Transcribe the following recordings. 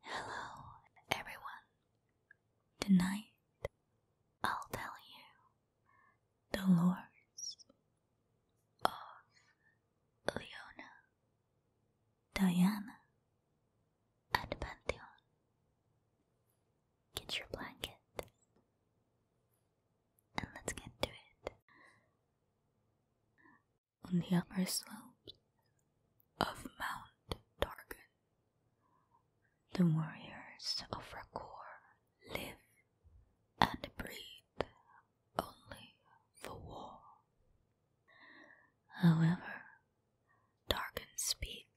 Hello, everyone. Tonight I'll tell you the lords of Leona, Diana, and Pantheon. Get your blanket and let's get to it on the upper slopes of Mount Darken, The warriors of Rakor live and breathe only for war. However, Targan's peak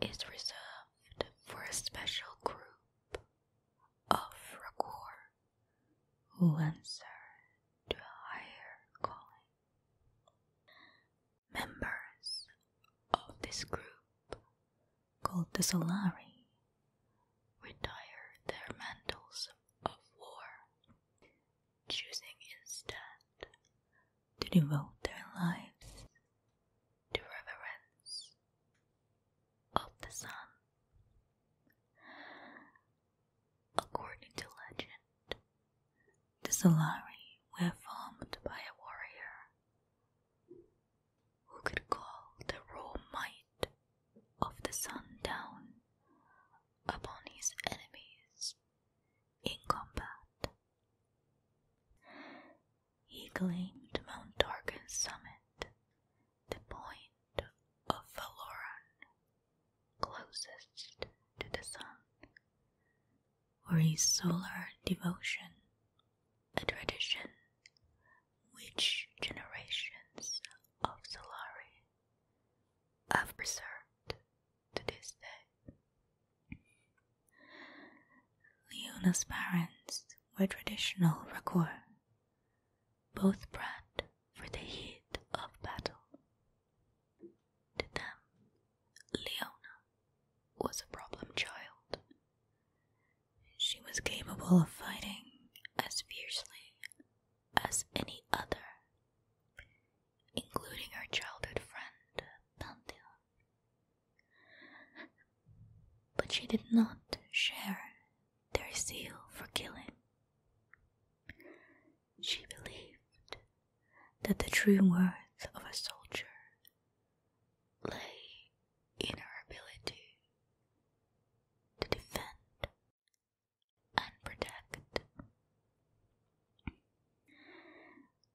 is reserved for a special group of Rakor who answer to a higher calling. Members of this group, called the Solari, retire their mantles of war, choosing instead to devote their lives to reverence of the sun. According to legend, the Solari were formed by a warrior who could call the raw might of the sun down upon his enemies in combat. He claimed Mount Tarkin's summit, the point of Valoran, closest to the sun, or his solar devotion, a tradition which generations of Solari have preserved to this day. Leona's parents were traditional Rakor, both bred for the heat of battle. To them, Leona was a problem child. She was capable of fighting as fiercely as any other, including her childhood friend Pantheon. But she did not share their zeal for killing. She believed that the true worth of a soldier lay in her ability to defend and protect.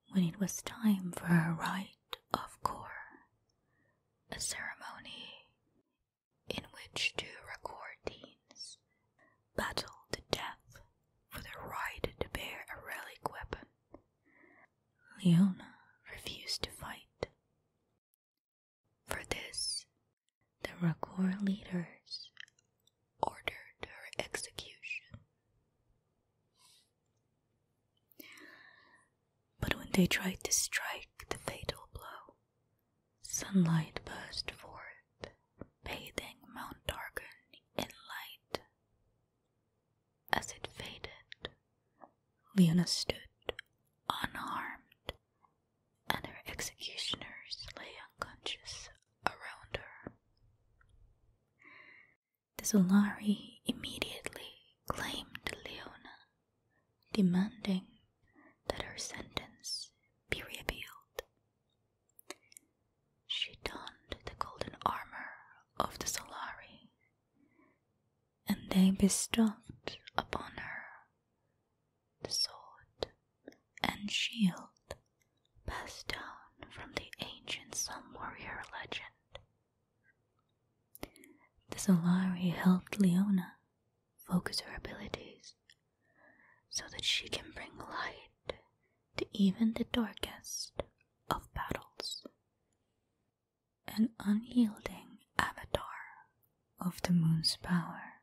When it was time for her rite of corps, a ceremony in which two recordings battled to death for the right to bear a relic weapon. Leona refused to fight. For this, the Rakor leaders ordered her execution. But when they tried to strike the fatal blow, Sunlight burst forth, bathing Mount Dargan in light. As it faded, Leona stood unharmed, and her executioners lay unconscious around her. The Solari immediately claimed Leona demanding that her sentence be repealed. She donned the golden armor of the Solari, and they bestowed upon her the sword and shield passed down from the ancient Sun warrior legend. The Solari helped Leona focus her abilities so that she can bring light to even the darkest of battles. An unyielding avatar of the moon's power,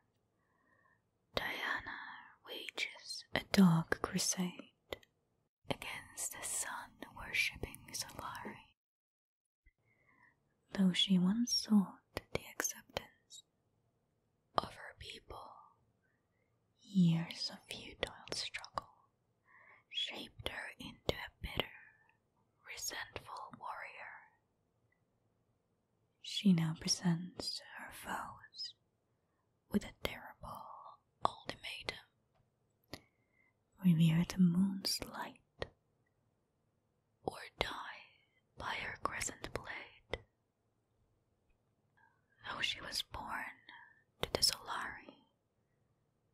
Diana wages a dark crusade against the sun worshipping Solari Though she once sought the acceptance of her people, years of futile struggle shaped her into a bitter, resentful warrior. She now presents her foes with a terrible ultimatum. Revere the moon's light or die by her crescent blade. Though she was born to the Solari,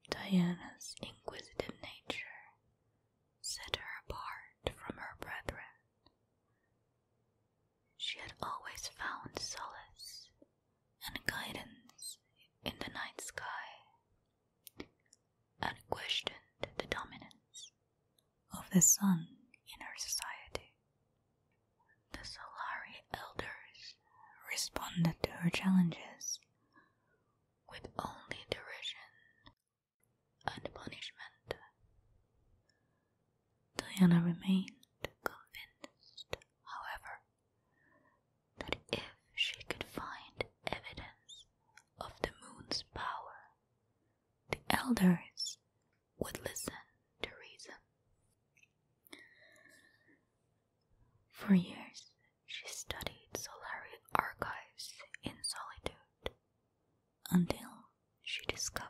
Diana's inquisitive nature set her apart from her brethren. She had always found solace and guidance in the night sky and questioned the dominance of the sun in her society. The Solari elders responded to her challenges with only derision and punishment. Diana remained convinced, however, that if she could find evidence of the moon's power the elders would listen to reason. For years, she studied Solari archives in solitude until she discovered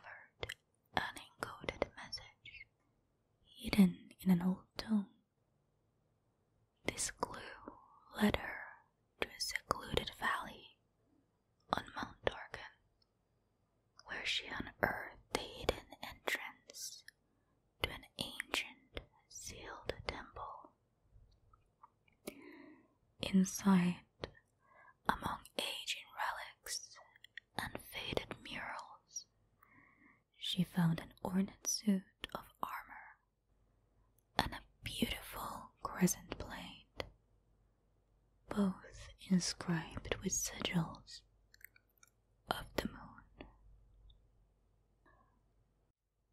an encoded message hidden in an old tome. This clue led her to a secluded valley on Mount Dorgan, where she unearthed the hidden entrance to an ancient sealed temple. Inside, among aging relics and faded murals, she found an ornate suit of armor and a beautiful crescent plate, both inscribed with sigils of the moon.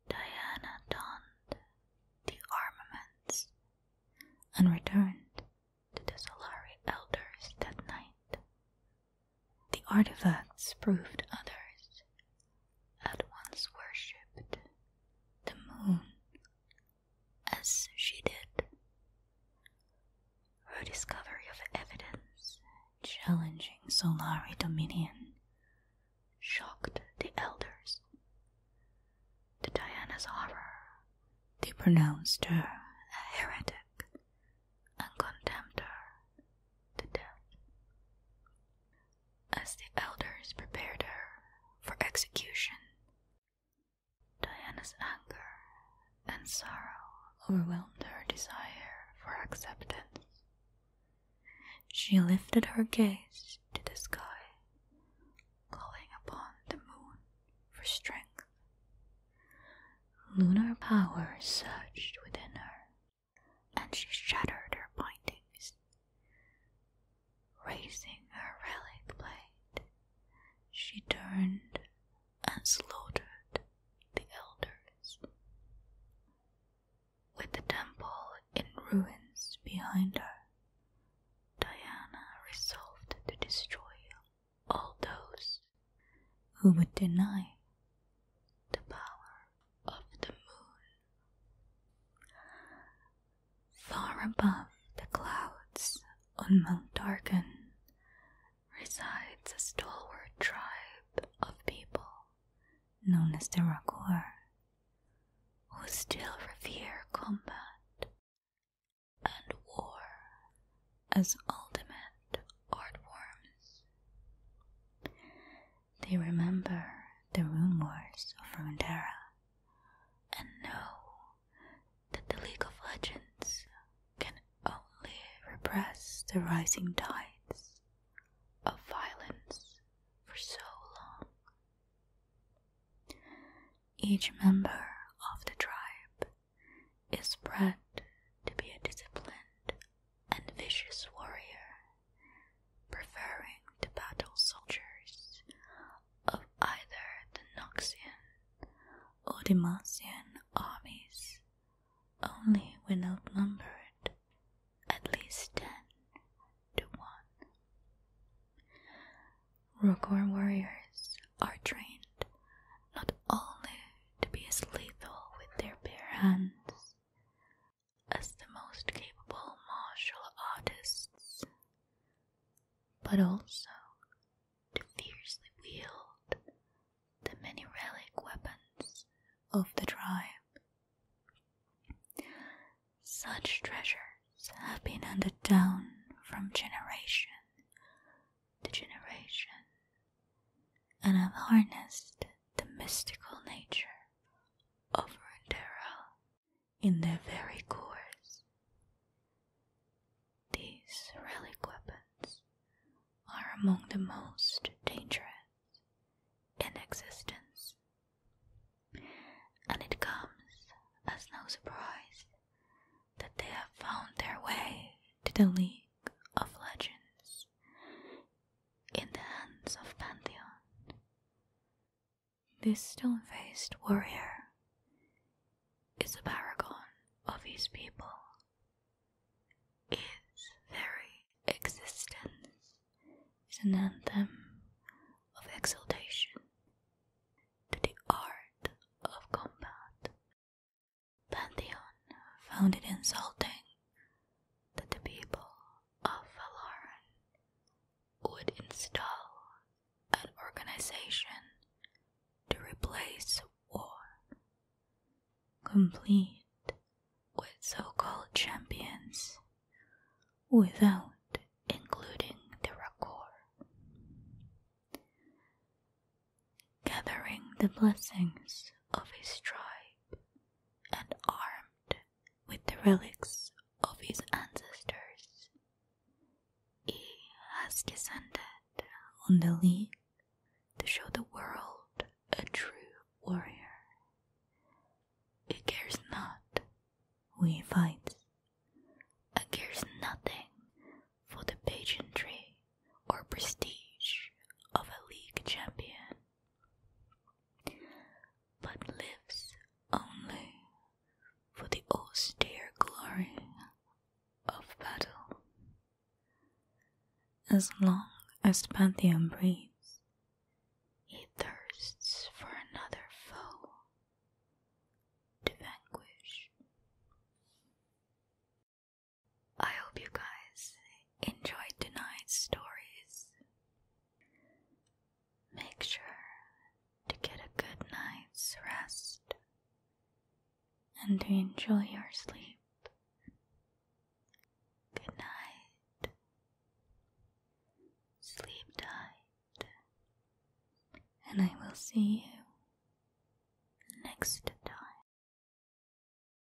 Diana donned the armaments and returned to the Solari elders that night. The artifacts proved others had once worshipped the moon as she did. Her discovery of evidence challenging Solari dominion shocked the elders. To Diana's horror, they pronounced her a heretic and condemned her to death as the elders prepared her for execution. Diana's anger and sorrow overwhelmed her desire for acceptance. She lifted her gaze to the sky, calling upon the moon for strength. Lunar power surged within her and she shattered her bindings. Raising her relic blade, she turned and slaughtered the elders. With the temple in ruins behind her, Diana resolved to destroy all those who would deny the power of the moon Far above the clouds on Mount Dargan resides a stalwart tribe of people known as the Rakor, who still revere combat and war as ultimate art forms. They remember the rumors of Rundara, and know that the League of Legends can only repress the rising tides of violence for so long. Each member of the tribe is bred to be disciplined and vicious warrior, preferring to battle soldiers of either the Noxian or Demacian armies, only when outnumbered at least ten to one. Rokor warriors are trained not only to be as lethal with their bare hands, as the most capable martial artists, but also to fiercely wield the many relic weapons of the tribe. Such treasures have been handed down from generation to generation and have harnessed the mystical nature of Rendera in their very cores. These relic weapons are among the most dangerous in existence, and it comes as no surprise that they have found their way to the League of Legends in the hands of Pantheon. This stone faced warrior is a paragon of his people. Its very existence is an anthem of exaltation to the art of combat. Pantheon found it insulting that the people of Valaran would install an organization to replace war, complete with so called champions without including the Rakor. Gathering the blessings of his tribe and armed with the relics of his ancestors. He has descended on the league to show the world a true warrior. He cares not who he fights, he cares nothing for the pageantry or prestige of a league champion but lives only for the austere glory of battle. As long as Pantheon breathes, he thirsts for another foe to vanquish. I hope you guys enjoyed tonight's stories. Make sure to get a good night's rest and to enjoy your sleep. Good night. Sleep tight. And I will see you next time.